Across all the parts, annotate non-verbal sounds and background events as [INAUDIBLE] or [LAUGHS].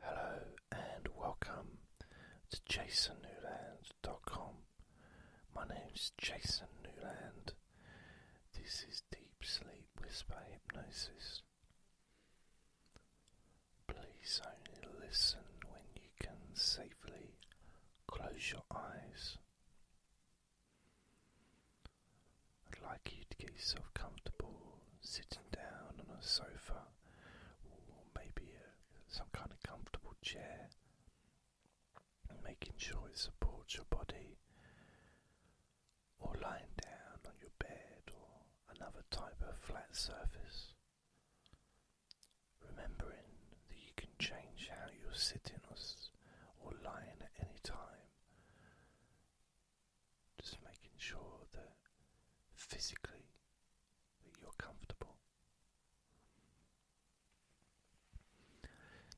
Hello and welcome to jasonnewland.com. My name's Jason Newland. This is Deep Sleep Whisper Hypnosis. Please only listen when you can safely close your eyes. I'd like you to get yourself comfortable sitting down on a sofa or maybe a, some kind of comfortable chair, making sure it supports your body, or lying down on your bed or another type of flat surface. Remembering that you can change how you're sitting or, or lying at any time just making sure that physically that you're comfortable.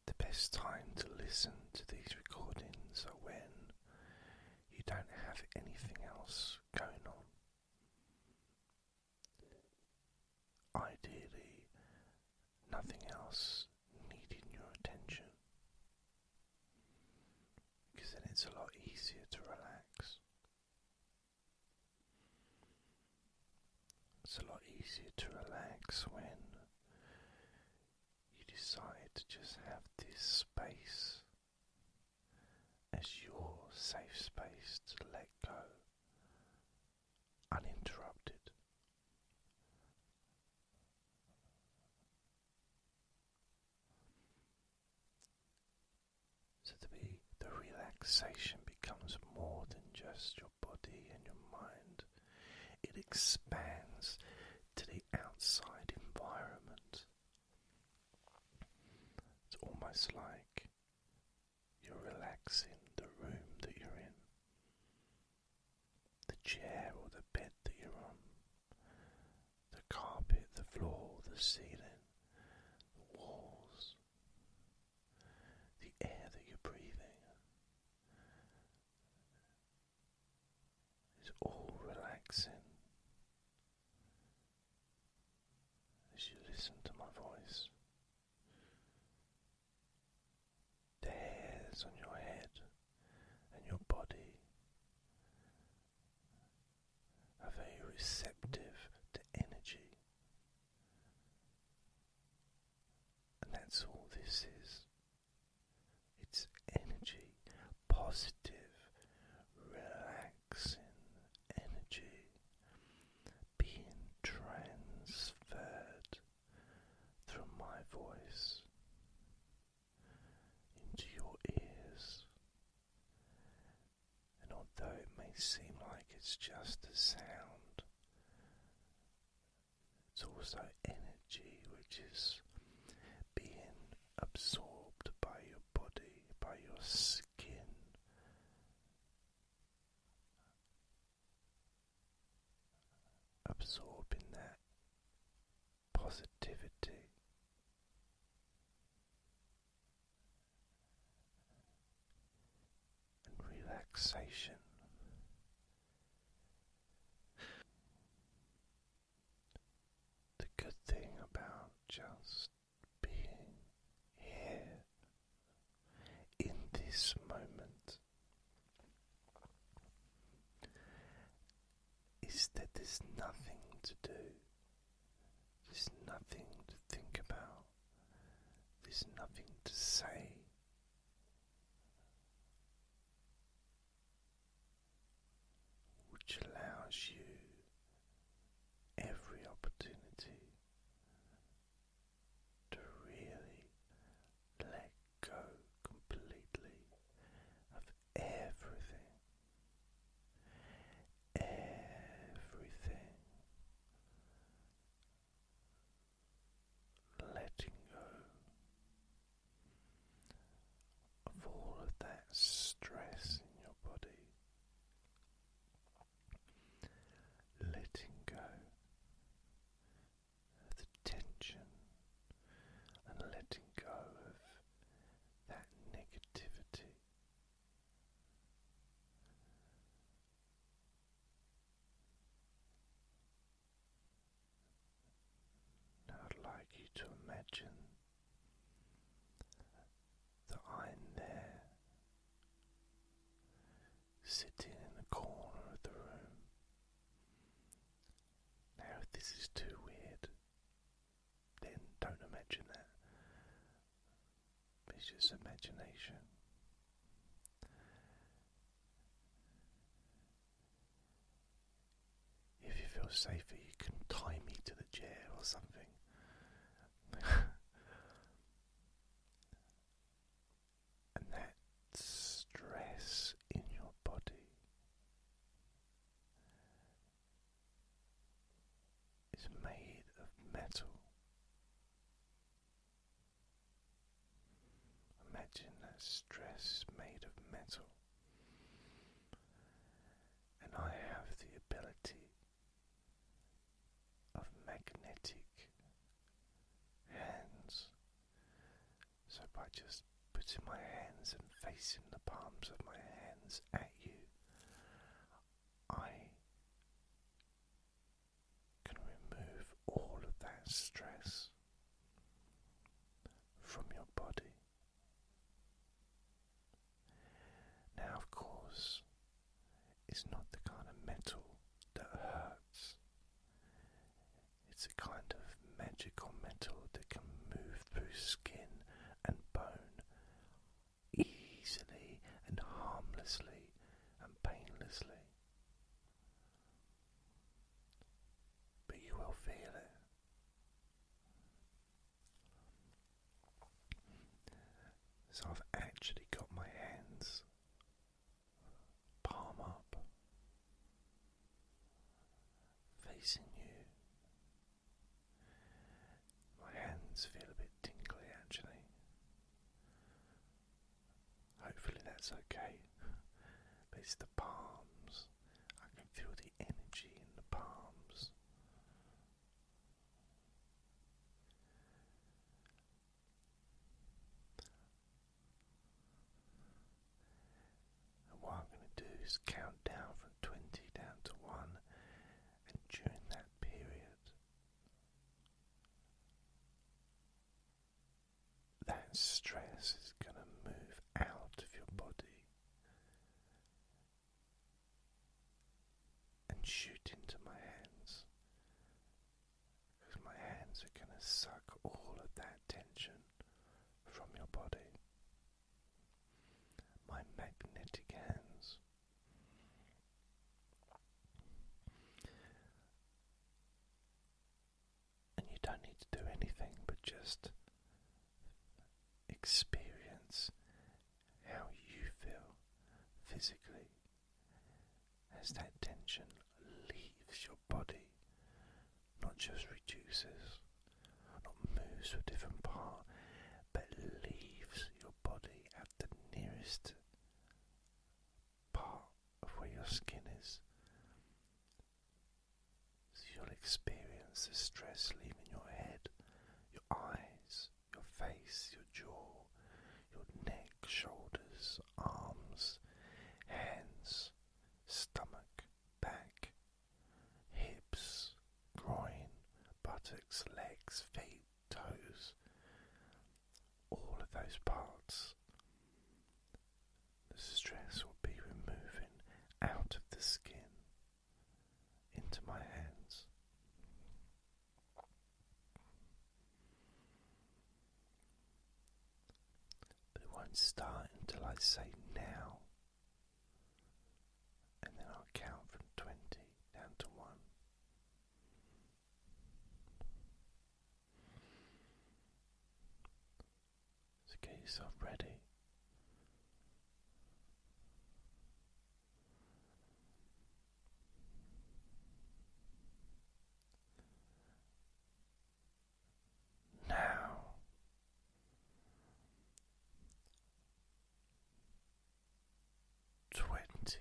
The best time to listen to these recordings are when you don't have anything else going on. Ideally, nothing else needing your attention because then it's a lot easier to relax. It's a lot easier to relax when you decide to just have this space as your safe space to let go uninterrupted. So that we, the relaxation becomes more than just your body and your mind. It expands to the outside environment. It's almost like you're relaxing the room that you're in, the chair or the bed that you're on, the carpet, the floor, the ceiling, the walls, the air that you're breathing is all relaxing as you listen to my voice. The hairs on your head and your body are very receptive to energy. And that's all this is. It's energy, positive, relaxing energy being transferred through my voice into your ears. And although it may seem like it's just a sound, it's also energy which is being absorbed by your body, by your skin. Absorbing that positivity. And relaxation. The good thing about just being here in this moment is that there's nothing to do, there's nothing to think about, there's nothing to say. Which allows you every opportunity to really let go completely of everything, everything, letting go of all of that stress in your body. Letting go of the tension and letting go of that negativity. Now, I'd like you to imagine that I'm there, sitting in the corner of the room, now, if this is too weird, then don't imagine that. It's just imagination. If you feel safer, you can tie me to the chair or something. [LAUGHS] and that stress in your body is made of metal. Imagine that stress made of metal, and I have the ability of magnetic hands so, by just putting my hands and facing the palms of my hands at you, I can remove all of that stress from your body. Now, of course, it's not the kind of metal that hurts, it's a kind of magical metal that can move through skin and bone easily and harmlessly and painlessly. But you will feel it. So I've actually got my hands palm up, facing you. My hands feel a bit tingly actually. Hopefully that's okay. but it's the palms. I can feel the energy in the palms. And what I'm going to do is count down from 20 down to 1, and during that period, that stress is going to move out of your body and shoot into my hands because my hands are going to suck all of that tension from your body. My magnetic hands. And you don't need to do anything but just experience how you feel physically as that tension leaves your body, not just reduces, not moves to a different part, but leaves your body at the nearest part of where your skin is. So you'll experience the stress leaving your head, your eyes, your face, your jaw, your neck, shoulders, arms, hands, stomach, back, hips, groin, buttocks, legs, feet, toes, all of those parts. The stress will be removing out of the skin into my hands. But it won't start until I say now. And then I'll count from 20 down to 1. So get yourself ready. Now, twenty.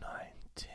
Nineteen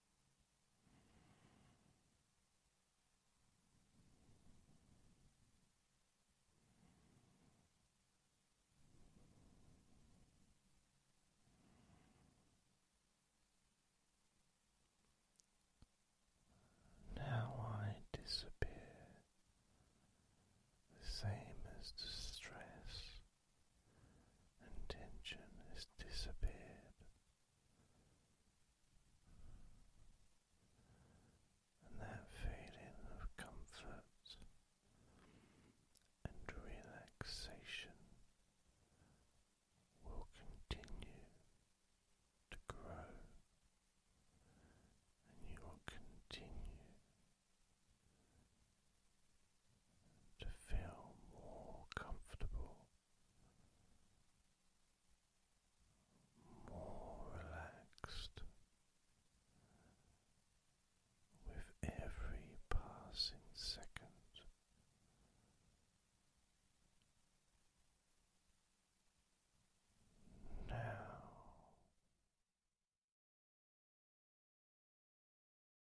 Now I disappear, the same as the and tension has disappeared, and that feeling of comfort and relaxation will continue to grow, and you will continue to feel more comfortable, more relaxed with every passing second. Now.